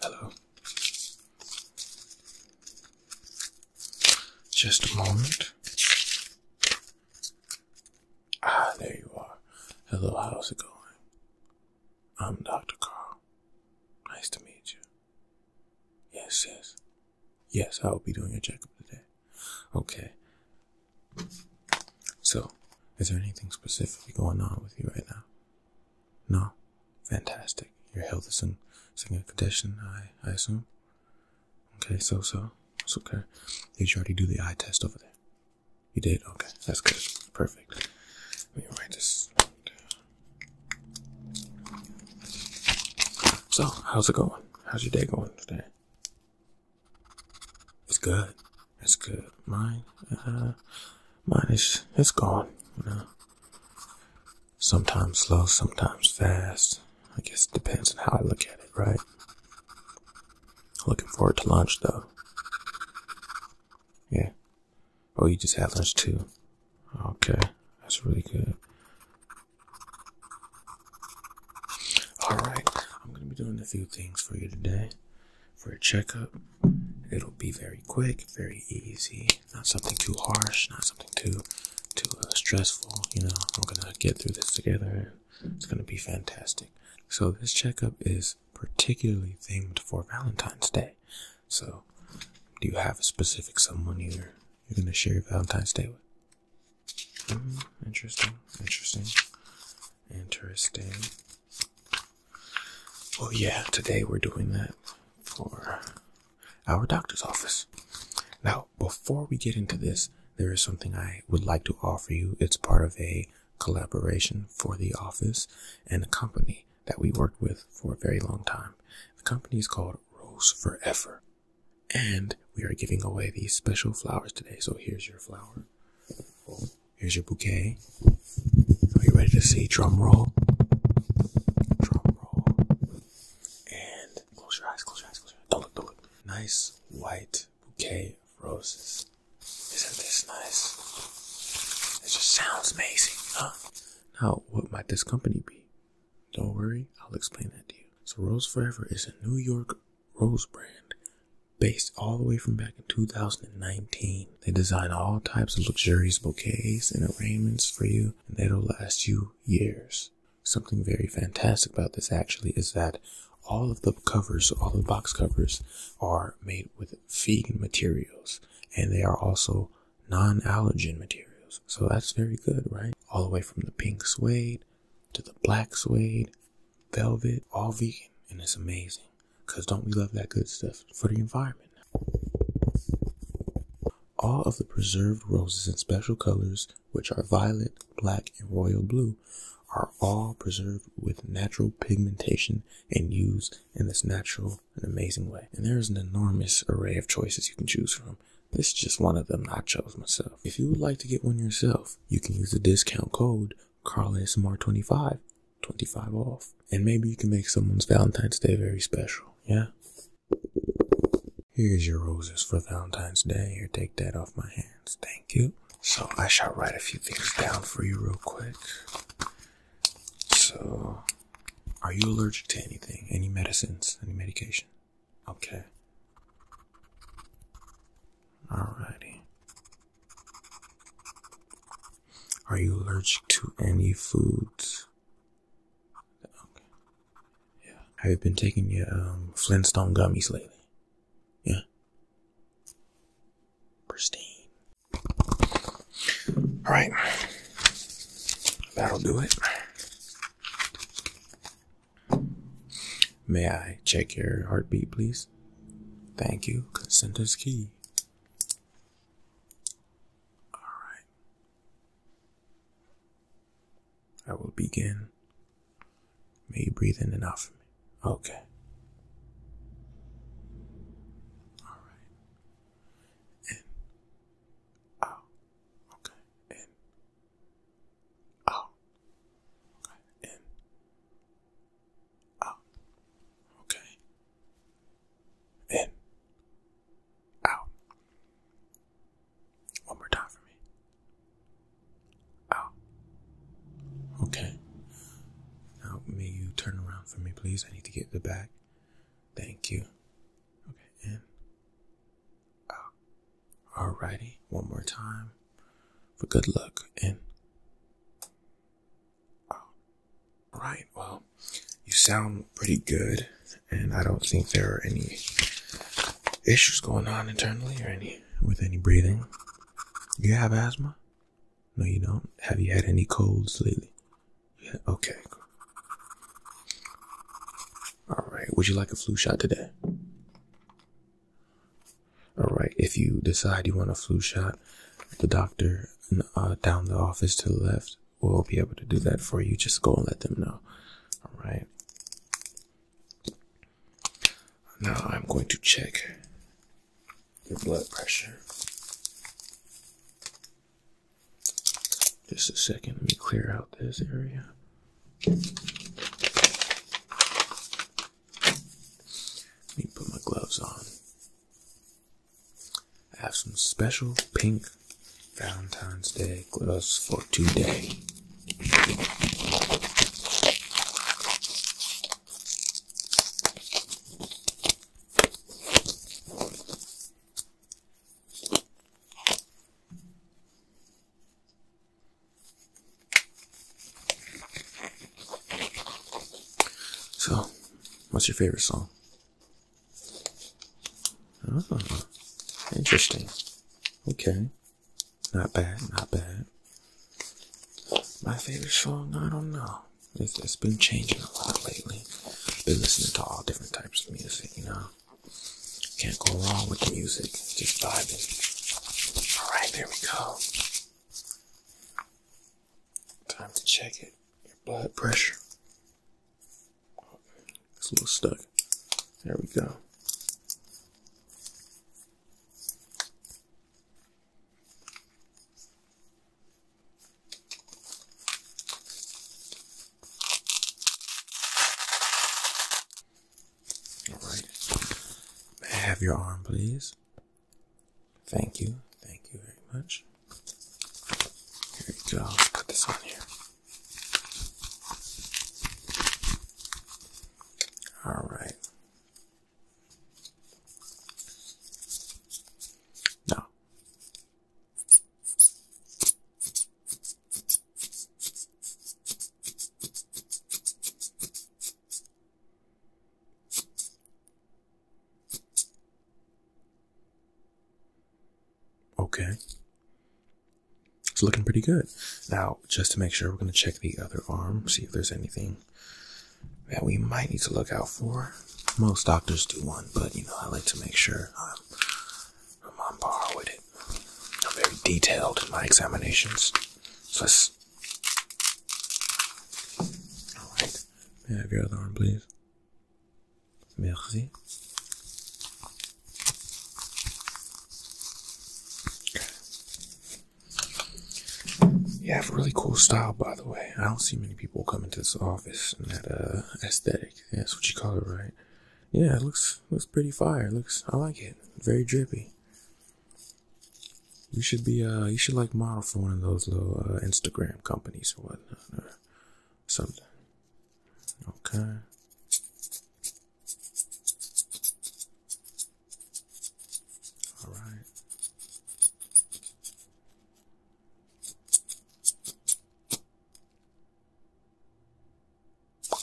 Hello. Just a moment. Ah, there you are. Hello, how's it going? I'm Dr. Carl. Nice to meet you. Yes, yes. Yes, I will be doing your checkup today. Okay. So, is there anything specifically going on with you right now? No? Fantastic. Your health is in good condition, I, I assume? Okay, so, so. It's okay. Did you already do the eye test over there? You did? Okay, that's good. Perfect. Let me write this So, how's it going? How's your day going today? It's good. It's good. Mine, uh, mine is, it's gone, you know. Sometimes slow, sometimes fast. I guess it depends on how I look at it, right? Looking forward to lunch, though. Yeah. Oh, you just had lunch, too. Okay. That's really good. Alright, I'm gonna be doing a few things for you today for a checkup. It'll be very quick, very easy, not something too harsh, not something too too uh, stressful. You know, we're gonna get through this together. It's gonna be fantastic. So this checkup is particularly themed for Valentine's Day. So, do you have a specific someone you're you're gonna share Valentine's Day with? Hmm, interesting, interesting. Interesting. Well, oh, yeah, today we're doing that for our doctor's office. Now, before we get into this, there is something I would like to offer you. It's part of a collaboration for the office and a company that we worked with for a very long time. The company is called Rose Forever. And we are giving away these special flowers today. So here's your flower. Oh. Here's your bouquet. Are you ready to see? Drum roll. Drum roll. And close your eyes, close your eyes, Don't look, don't look. Nice white bouquet roses. Isn't this nice? It just sounds amazing, huh? Now, what might this company be? Don't worry, I'll explain that to you. So Rose Forever is a New York Rosebrand, based all the way from back in 2019. They design all types of luxurious bouquets and arraignments for you, and they will last you years. Something very fantastic about this actually is that all of the covers, all the box covers, are made with vegan materials, and they are also non-allergen materials. So that's very good, right? All the way from the pink suede to the black suede velvet, all vegan, and it's amazing. Cause don't we love that good stuff for the environment? All of the preserved roses in special colors, which are violet, black, and royal blue, are all preserved with natural pigmentation and used in this natural and amazing way. And there is an enormous array of choices you can choose from. This is just one of them I chose myself. If you would like to get one yourself, you can use the discount code Carl ASMR 25, 25 off. And maybe you can make someone's Valentine's Day very special, yeah? Here's your roses for Valentine's Day. Here, take that off my hands. Thank you. So I shall write a few things down for you real quick. So, are you allergic to anything? Any medicines? Any medication? Okay. Alrighty. Are you allergic to any foods? Yeah. Have you been taking your um, Flintstone gummies lately? Yeah. Pristine. All right. That'll do it. May I check your heartbeat, please? Thank you. Consent is key. All right. I will begin. May you breathe in and out for me. Okay. All right. In. Out. Okay. In out, in, out, okay, in, out, one more time for me, out, okay, now may you turn around for me please, I need to get the back, thank you, okay, in, out, Alrighty, one more time for good luck. And alright, well, you sound pretty good, and I don't think there are any issues going on internally or any with any breathing. You have asthma? No, you don't. Have you had any colds lately? Yeah, okay. All right. Would you like a flu shot today? All right. If you decide you want a flu shot, the doctor uh, down the office to the left will be able to do that for you. Just go and let them know. All right. Now I'm going to check your blood pressure. Just a second. Let me clear out this area. Let me put my gloves on. I have some special pink Valentine's Day gloves for today. So, what's your favorite song? Oh, interesting. Okay. Not bad, not bad. My favorite song, I don't know. It's, it's been changing a lot lately. Been listening to all different types of music, you know. Can't go wrong with the music. just vibing. All right, there we go. Time to check it. Your blood pressure. It's a little stuck. There we go. Alright. Have your arm, please. Thank you. Thank you very much. Here we go. Put this on here. Alright. Now. Okay. It's looking pretty good. Now, just to make sure, we're going to check the other arm, see if there's anything that we might need to look out for. Most doctors do one, but you know, I like to make sure I'm, on par with it. I'm very detailed in my examinations. So let's. Alright. May have your other arm, please? Merci. You have a really cool style, by the way. I don't see many people come into this office in that uh, aesthetic. that's what you call it, right? Yeah, it looks looks pretty fire. looks I like it. Very drippy. You should be uh you should like model for one of those little uh, Instagram companies or whatnot something. Okay. All right.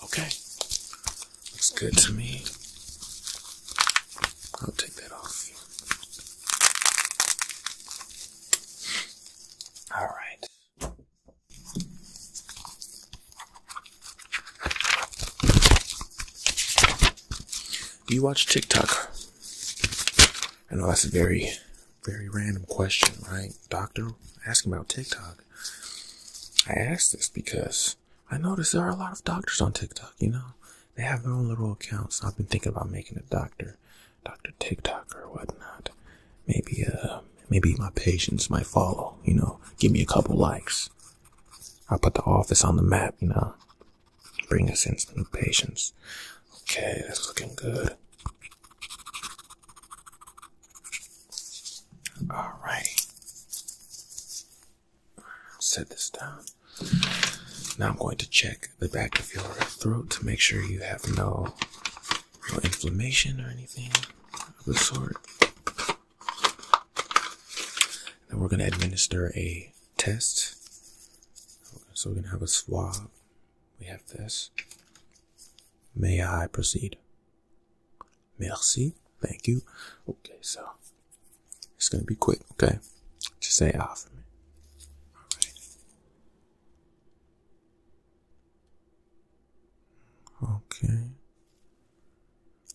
Okay. Looks good to me. I'll take that off. All right. Do you watch TikTok? I know that's a very, very random question, right? Doctor, ask about TikTok. I asked this because I noticed there are a lot of doctors on TikTok, you know. They have their own little accounts. I've been thinking about making a doctor, Dr. TikTok or whatnot. Maybe, uh, maybe my patients might follow, you know, give me a couple likes. I put the office on the map, you know. Bring us in some patients. Okay, that's looking good. All right. Set this down. Now I'm going to check the back of your throat to make sure you have no, inflammation or anything of the sort. Then we're going to administer a test. So we're going to have a swab. We have this. May I proceed? Merci. Thank you. Okay, so it's gonna be quick, okay? Just say off ah for me. Okay.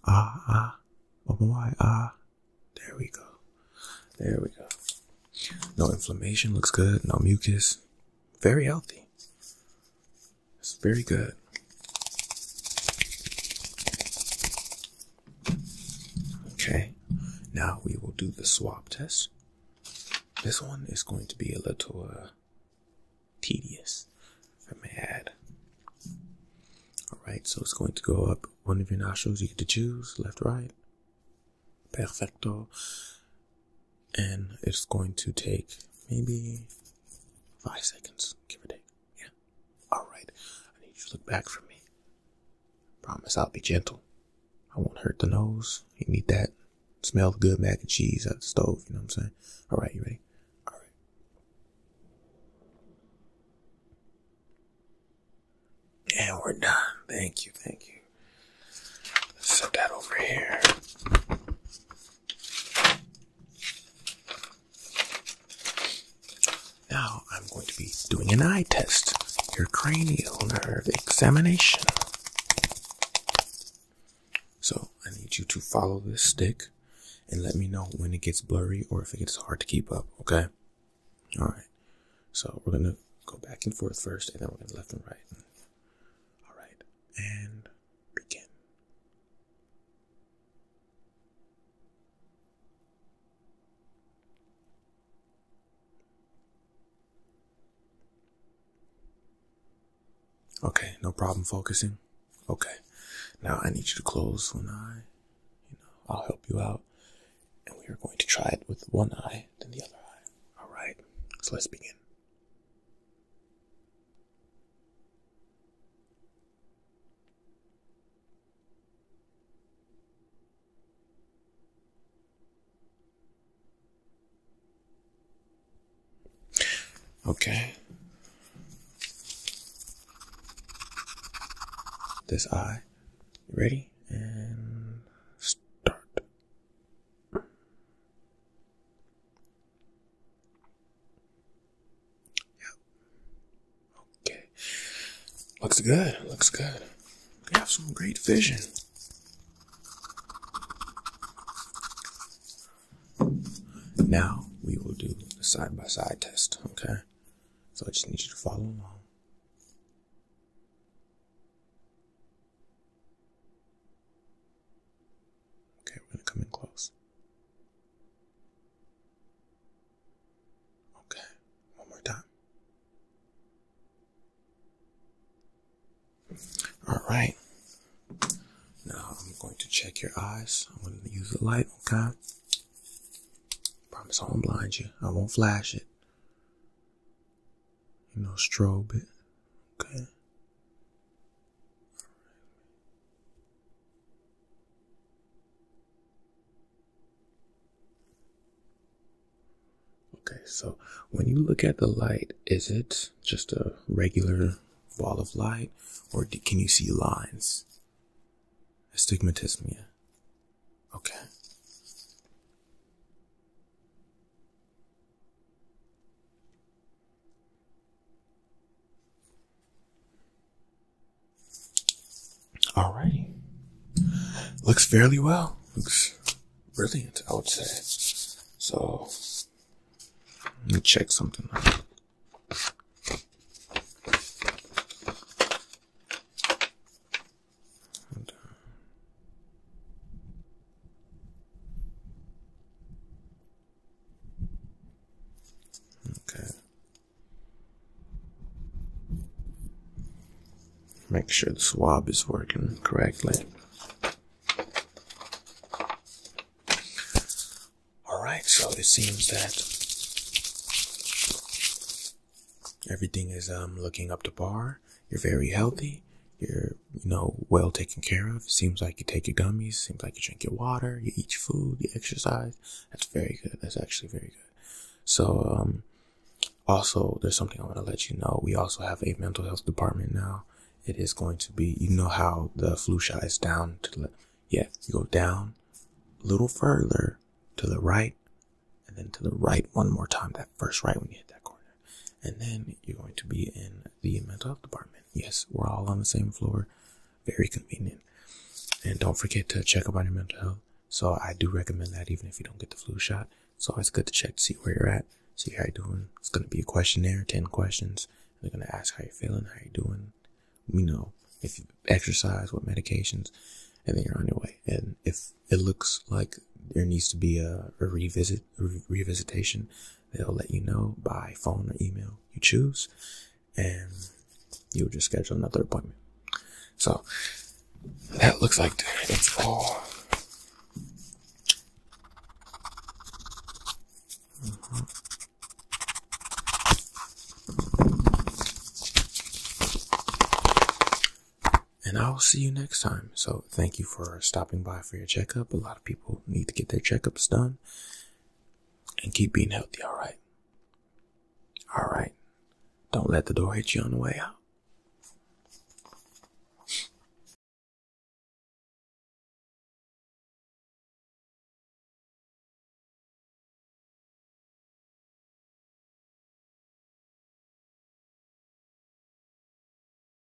Ah ah. Oh ah. There we go. There we go. No inflammation, looks good, no mucus. Very healthy. It's very good. Okay, now we will do the swap test. This one is going to be a little uh, tedious, I may add. Alright, so it's going to go up one of your nostrils. You get to choose left, right. Perfecto. And it's going to take maybe Five seconds, give or take. Yeah. Alright. I need you to look back for me. Promise I'll be gentle. I won't hurt the nose. You need that. Smell the good mac and cheese out the stove, you know what I'm saying? Alright, you ready? Alright. And we're done. Thank you, thank you. Let's set that over here. Now I'm going to be doing an eye test, your cranial nerve examination. So I need you to follow this stick and let me know when it gets blurry or if it gets hard to keep up, okay? Alright. So we're gonna go back and forth first and then we're gonna left and right. Alright, and begin. Okay, no problem focusing. Okay, now I need you to close one eye. You know, I'll help you out, and we are going to try it with one eye, then the other eye. All right, so let's begin. Okay. This eye. Ready? And start. Yep. Okay. Looks good. Looks good. You have some great vision. Now we will do the side by side test, okay? So I just need you to follow along. Okay, we're going to come in close. Okay, one more time. All right. Now I'm going to check your eyes. I'm going to use the light, okay? Promise I won't blind you. I won't flash it. You know, strobe it. Okay. Okay, so when you look at the light, is it just a regular ball of light, or can you see lines? Astigmatism. Yeah. Okay. Alrighty. Looks fairly well. Looks brilliant, I would say. So, let me check something Okay. Make sure the swab is working correctly. Alright, so it seems that everything is um, looking up to par. You're very healthy. You're you know, well taken care of. Seems like you take your gummies. Seems like you drink your water. You eat your food. You exercise. That's very good. That's actually very good. So, um, also, there's something I want to let you know. We also have a mental health department now. It is going to be, you know, how the flu is down to the, Yes, you go down a little further to the right and then to the right one more time. That first right when you hit that corner and then you're going to be in the mental health department. Yes, we're all on the same floor. Very convenient. And don't forget to check up on your mental health. So I do recommend that even if you don't get the flu shot. It's always good to check to see where you're at, see how you're doing. It's gonna be a questionnaire, ten questions. They're gonna ask how you're feeling, how you're doing, you know, if you exercise, what medications, and then you're on your way. And if it looks like there needs to be a, revisit, revisitation, They'll let you know by phone or email you choose, and you'll just schedule another appointment. So that looks like it's all. And I'll see you next time. So, thank you for stopping by for your checkup. A lot of people need to get their checkups done and keep being healthy, all right? All right. Don't let the door hit you on the way out.